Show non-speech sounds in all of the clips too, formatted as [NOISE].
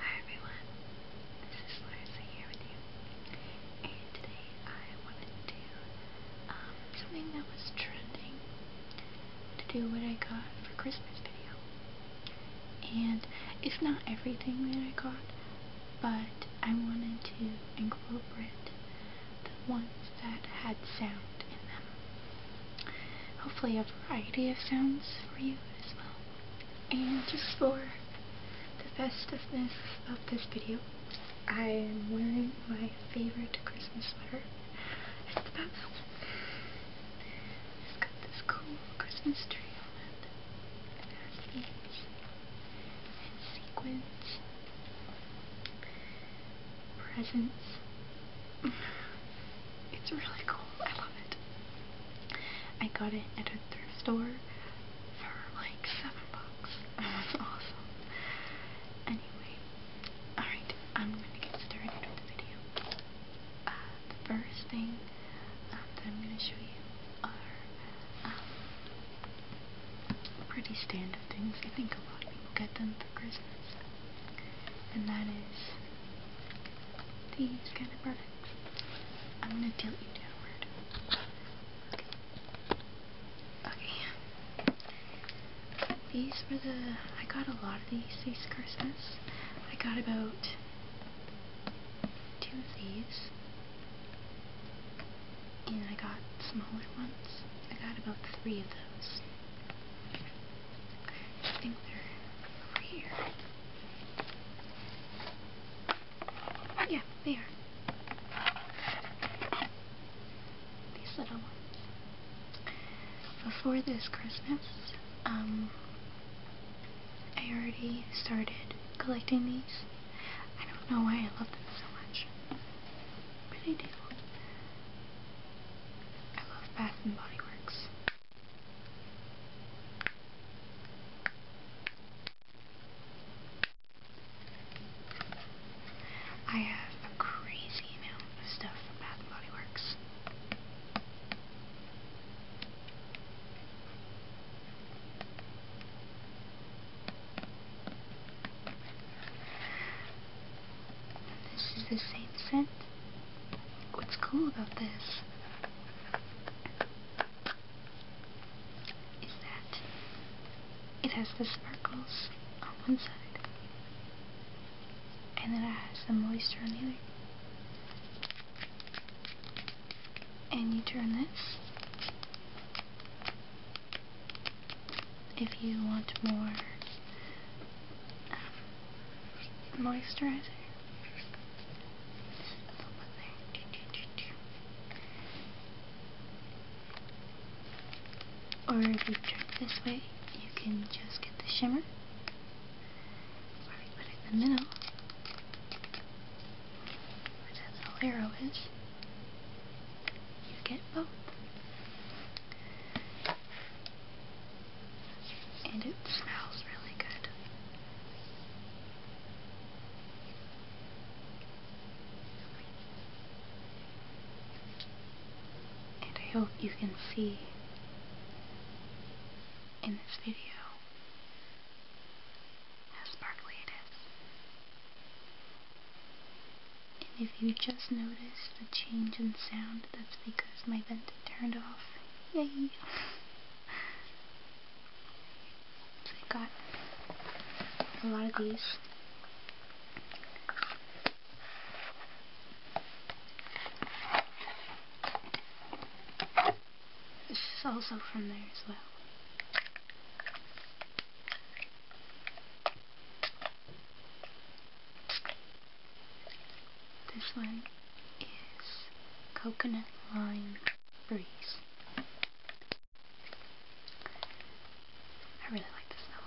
Hi everyone, this is Larissa here with you, and today I wanted to do um, something that was trending to do what I got for Christmas video. And it's not everything that I got, but I wanted to incorporate the ones that had sound in them. Hopefully a variety of sounds for you as well. And just for the festiveness of this video, I am wearing my favorite Christmas sweater. It's the Batman this cool Christmas tree on it. It has and sequins, presents. It's really cool. I love it. I got it at a thrift store for like seven bucks. It [LAUGHS] was awesome. Anyway, alright, I'm gonna get started with the video. Uh, the first thing um, that I'm gonna show you are um, pretty standard things. I think a lot of people get them for Christmas. And that is these kind of products. I'm gonna tilt you downward. Okay. Okay. These were the I got a lot of these this Christmas. I got about two of these. And I got smaller ones. I got about three of those. I think they're over here. Yeah, they are. These little ones. Before this Christmas, um, I already started collecting these. I don't know why I love them so much, but I do. I love Bath and Body Works. I have a crazy amount of stuff from Bath and Body Works. This is the same scent. What's cool about this is that it has the sparkles on one side, and then it has the moisture on the other. And you turn this if you want more um, moisturizer. Or if you turn this way, you can just get the shimmer. Or you put it in the middle, that's all arrow is, you get both. And it smells really good. And I hope you can see in this video how sparkly it is. And if you just noticed the change in sound, that's because my vent turned off Yay. I got a lot of these. This is also from there as well. This one is Coconut Lime Breeze. I really like the smell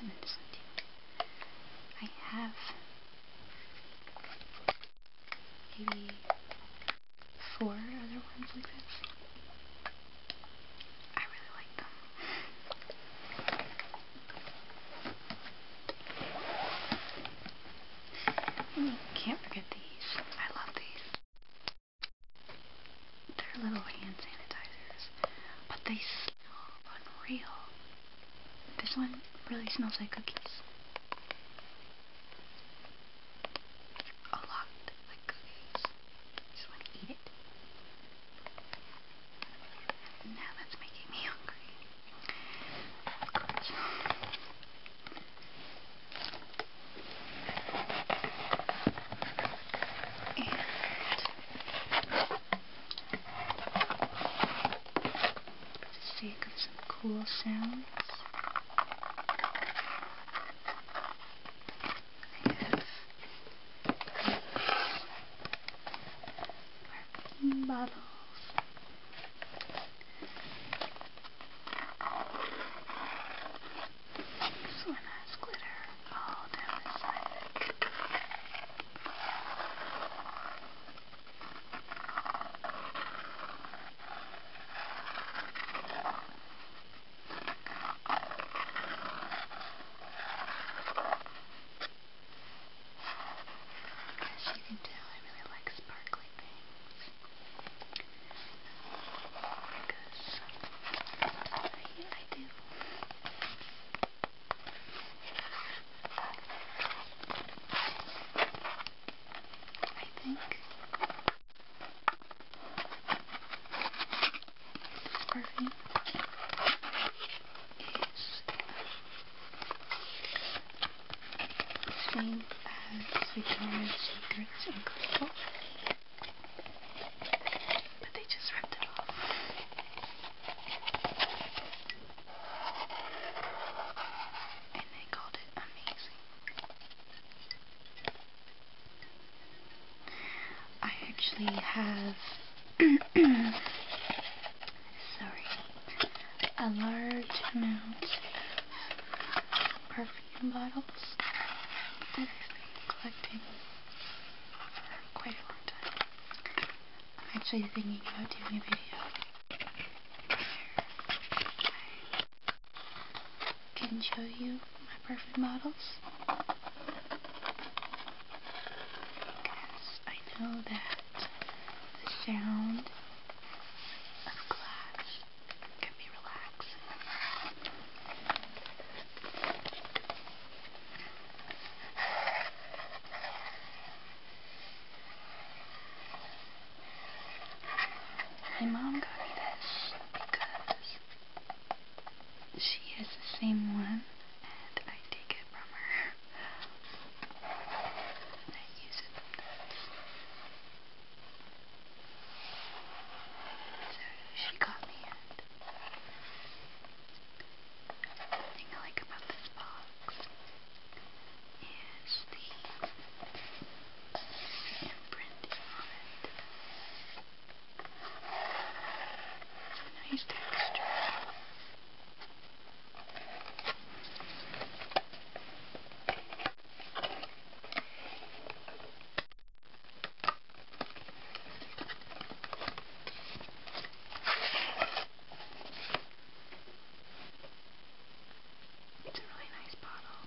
And then this one I have maybe four other ones like this. I really like them. And you can't forget these. I love these. They're little hand sanitizers, but they smell unreal. This one really smells like cookies. A lot like cookies. Just want to eat it. Now that's making me hungry. And for the sake of some cool sounds. Perfume bottles. This one has glitter all down the side. As you can tell, I really like sparkly things. Because I, I do. I think scarfing is framed as Victoria's Secrets in crystal, but they just ripped it off. And they called it amazing. I actually have, [CLEARS THROAT] sorry, a large amount of perfume bottles that I've been collecting for quite a long time. I'm actually thinking about doing a video where I can show you my perfume bottles because I know that the sound of clash can be relaxing. My mom got me this because she has the same one and I take it from her I use it So she got me thing I like about this box is the imprinting on it. Nice texture. It's a really nice bottle.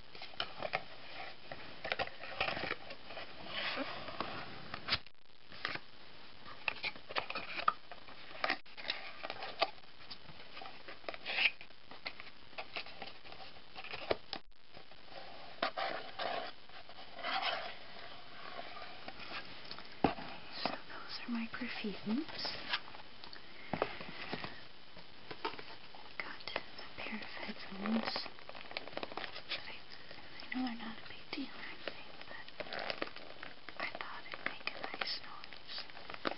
So those are my perfumes got a pair of headphones. I, I know they're not a big deal or anything, but I thought it'd make a nice noise.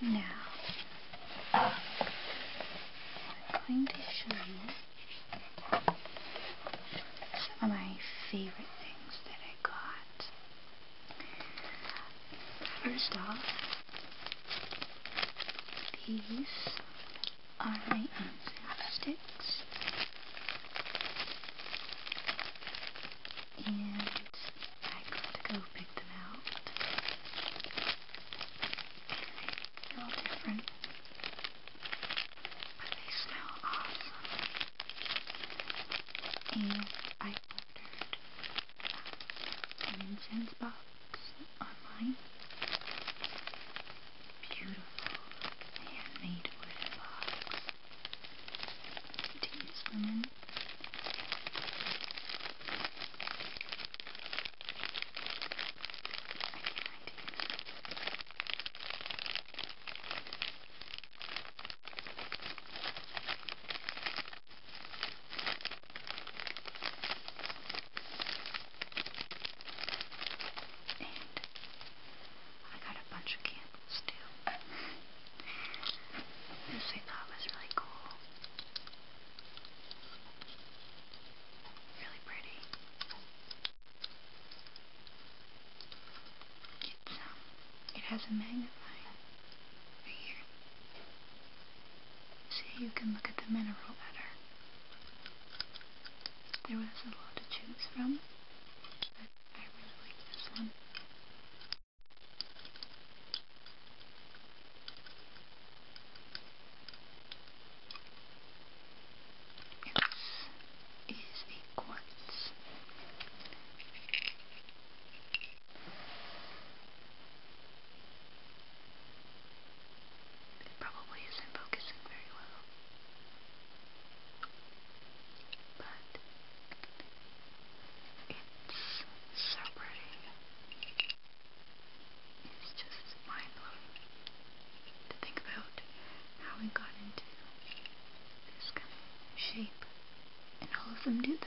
Now, I'm going to show you some of my favorite things that I got. First off, these are my answer sticks. And I gotta go pick them out. They're all different. But they smell awesome. And I ordered an uh, incense box online. Beautiful handmade wooden box. These women. I and I got a bunch of candles too. This I thought was really cool. Really pretty. It's, um, it has a magnifying right here so you can look at the mineral better. There was a lot to choose from, but I really like this one. This is a quartz. It probably isn't focusing very well. But it's so pretty. It's just mind blowing to think about how we got into this kind of shape. And all of them do that.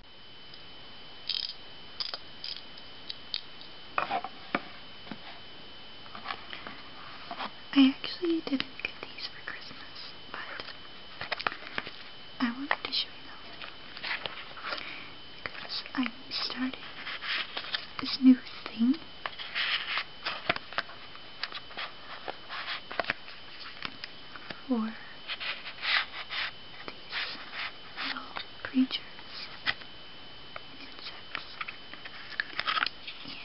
I actually didn't get these for Christmas, but I wanted to show you them. Because I'm starting this new thing. For these creatures, insects, and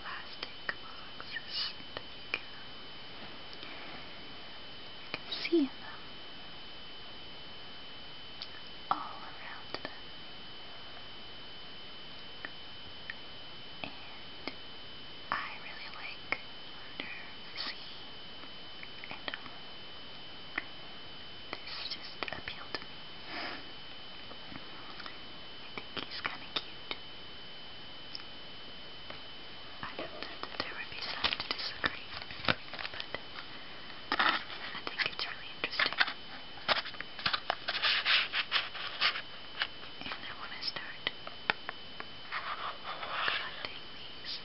plastic boxes you can, see them all around them and I really like Under the and This just appealed to me. I think he's kind of cute. I know that there would be some to disagree, but I think it's really interesting. And I want to start collecting these.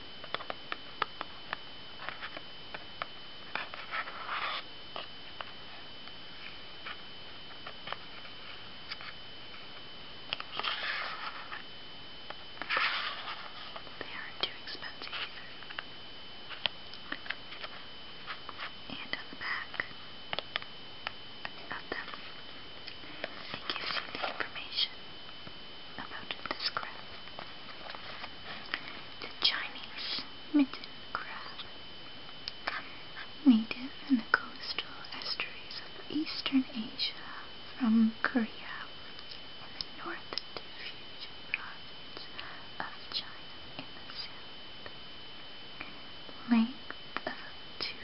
They aren't too expensive either. And on the back, it gives you the information about this crab. The Chinese mitten crab, native in the coastal estuaries of eastern Asia from Korea and the north to future province of China in the south. Lay up to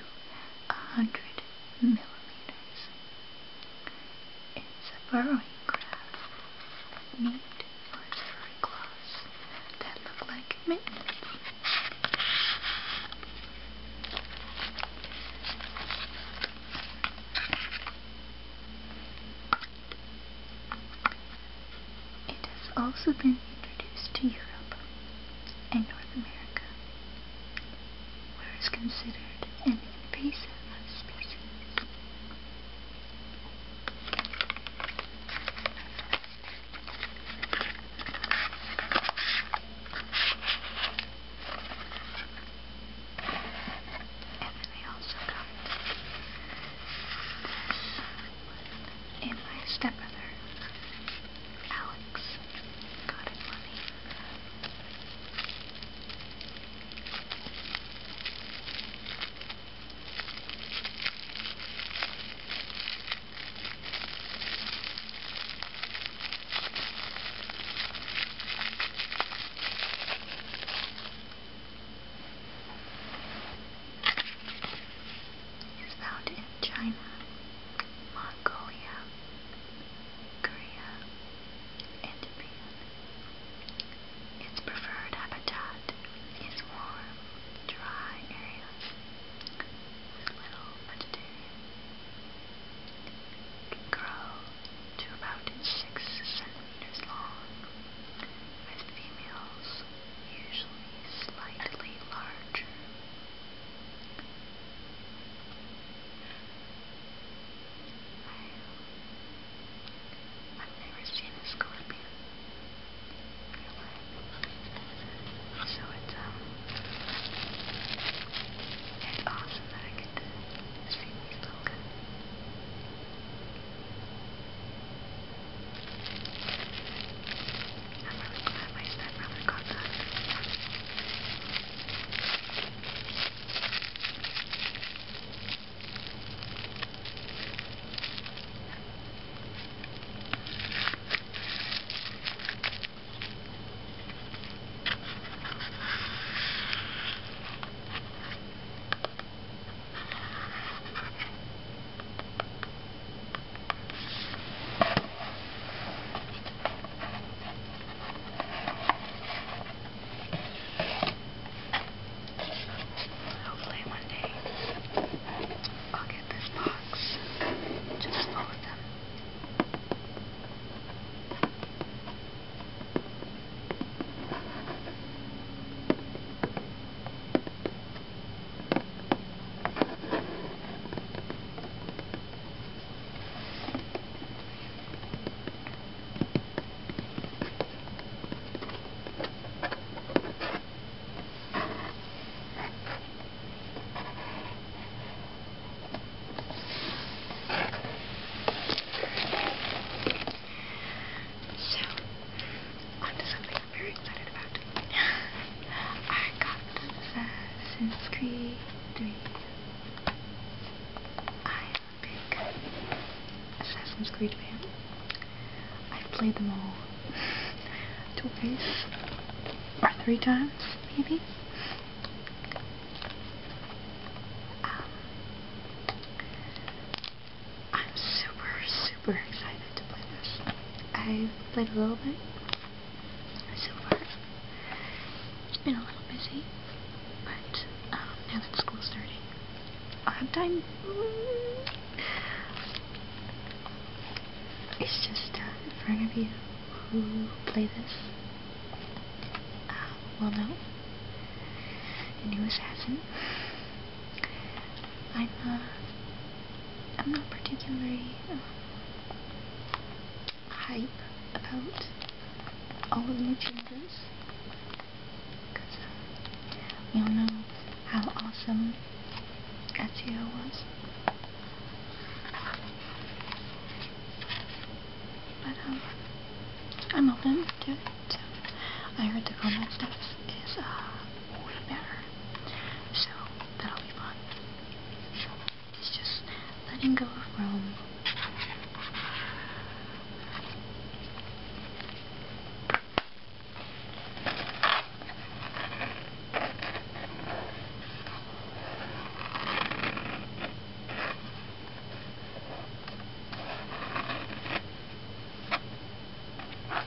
a hundred millimeters. It's a burrowing crab, named for its claws that look like mittens. It has also been introduced to Europe in North America, where it's considered an invasive species. And then they also got and my stepbrother, Alex, got it for me is found in China, Mongolia, Korea, and Japan. Its preferred habitat is warm, dry areas with little vegetation. It grow to about 6 centimeters long, with females usually slightly larger I've never seen a scorpion in real life. So it's um it's awesome that I get to see these little guys. I'm really glad my stepbrother got that. Hopefully one day I'll get this box just full of them. So, onto something i very excited about. I got Assassin's Creed 3. I am a big Assassin's Creed fan. I've played them all twice or three times, maybe. I'm super, super excited to play this. I've played a little bit so far. It's been a little busy, but um, now that school's starting, I'll have time. It's just uh, for any of you who play this, uh, well no, the new assassin. I'm not, uh, I'm not particularly uh, hype about all of new changes, because uh, we all know how awesome SEO was. But um, I'm open to it. I heard the comment stuff is uh, way better. So That'll It's just letting go of Rome. I've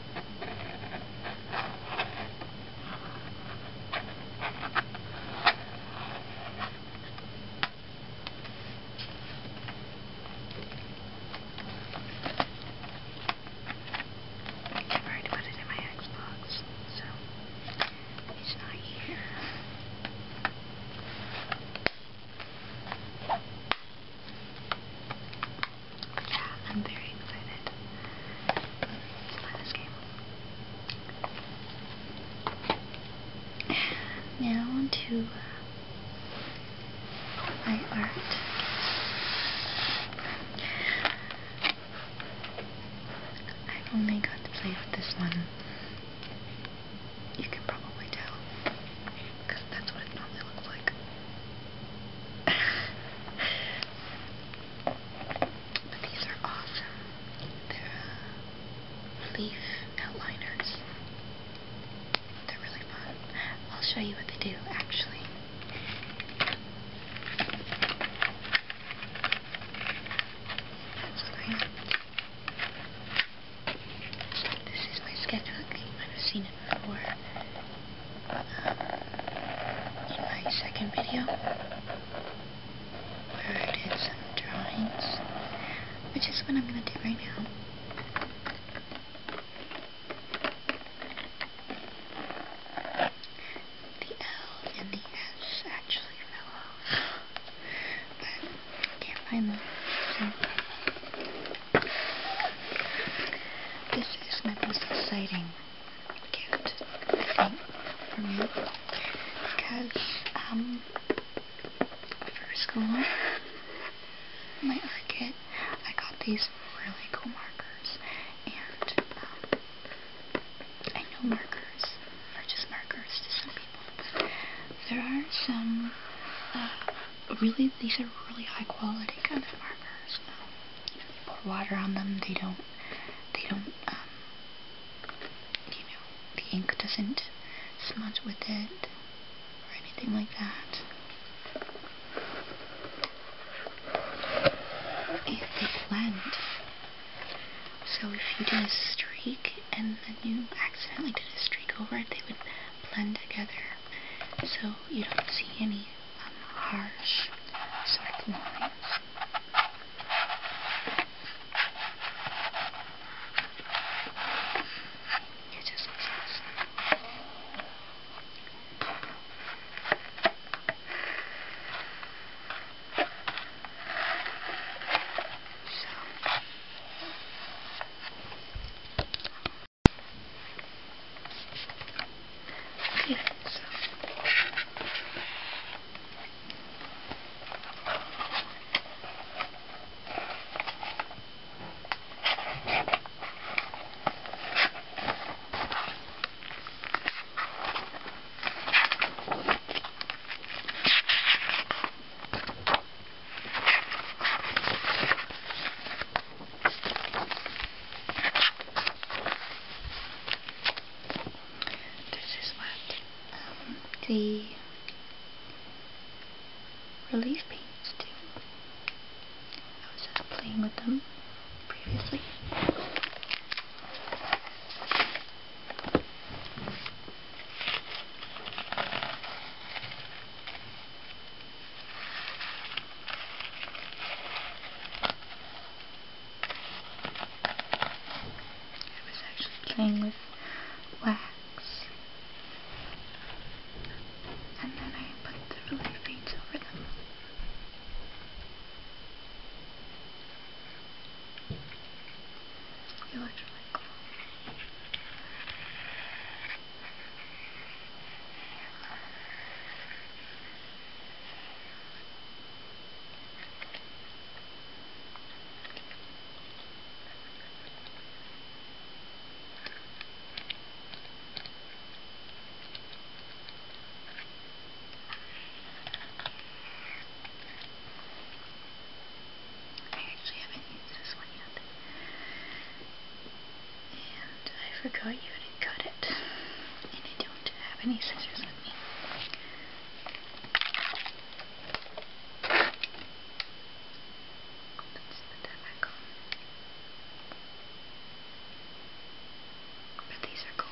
already put it in my Xbox, so it's not here yeah, I'm very excited. let this game. Now onto uh, my art. i only got to play with this one. You can probably tell, that's what it normally looks like. [LAUGHS] But these are awesome. They're uh, leaf outliners. They're really fun. I'll show you what they do, actually. That's great. This is my sketchbook. You might have seen in my second video where I did some drawings, which is what I'm going to do right now. The L and the S actually fell off, but can't find them. This is my most exciting cute thing for me because um, for school, my art kit, I got these really cool markers and um, I know markers are just markers to some people, but there are some uh, really these are really high quality kind of markers. Um, you know, pour water on them, they don't, they don't, um, you know, the ink doesn't smudge with it or anything like that. they blend. So if you did a streak and then you accidentally did a streak over it, they would blend together. So you don't see any harsh sort of line. It just looks awesome. So, yeah, so. This is what um, the relief paints do. I was just playing with them previously. I was actually playing with wax. And then I put the relief paints over them. They looked really cool. I actually haven't used this one yet. And I forgot you to cut it. And I don't have any scissors with me. Let's put that back on. But these are cool.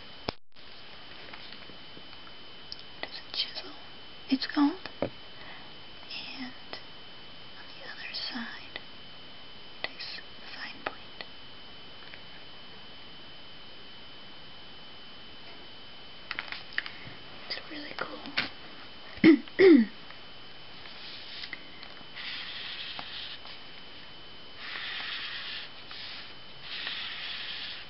It is a chisel, it's called. And on the other side, it is a fine point. It's really cool.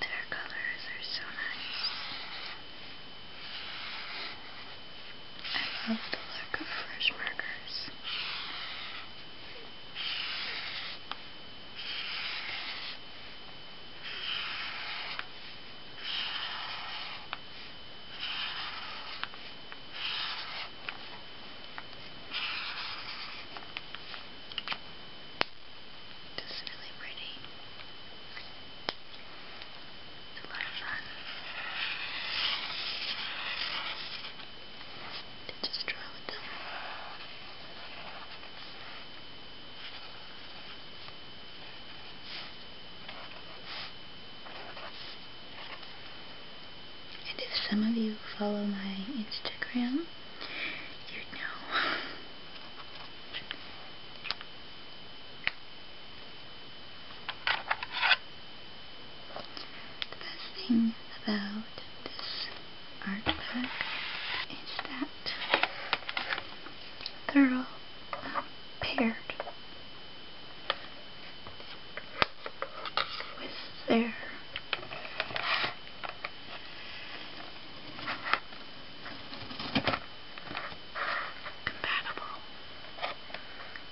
Their colors are so nice. I love the look of fresh markers. This is really pretty. A lot of fun. And if some of you follow my Instagram, you know. [LAUGHS] the best thing about this art pack is that they're all um, paired with their compatible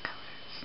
colors.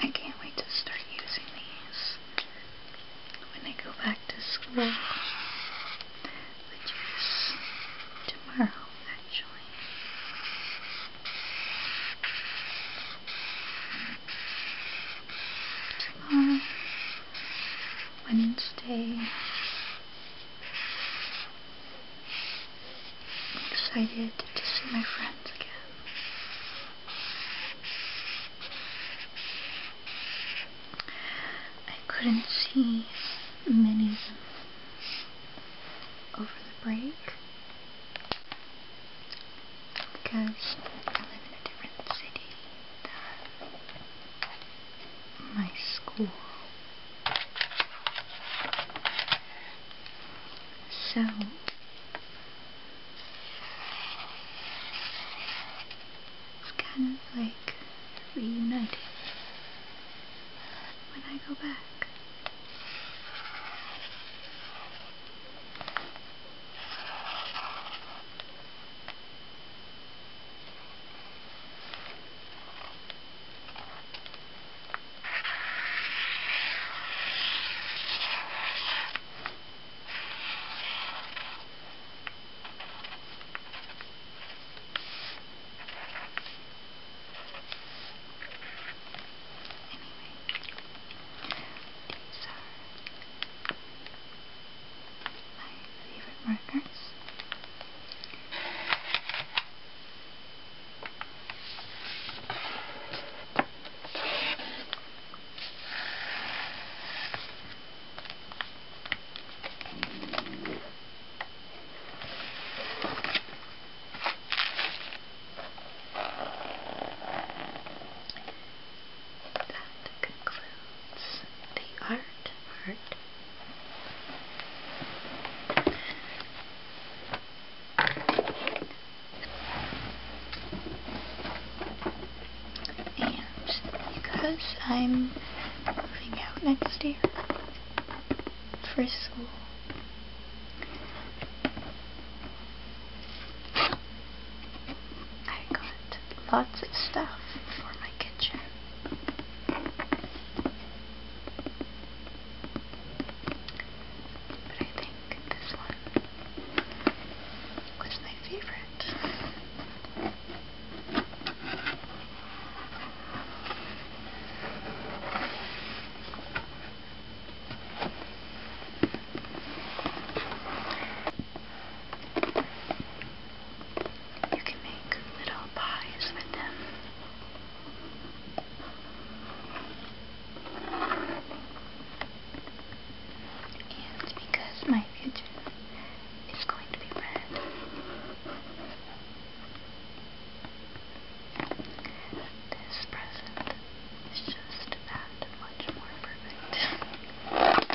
I can't wait to start using these when I go back to school which is tomorrow actually. Tomorrow, Wednesday. I'm excited to see my friends again. I couldn't see many of them over the break because I live in a different city than my school. So, it's kind of like like reunited when I go back. Anyway, these are my favorite markers. That concludes the art part. And because I'm moving out next year, for school. I got lots of stuff for my kitchen. But I think this one was my favorite. You can make little pies with them. And because my kitchen is going to be red, this present is just that much more perfect.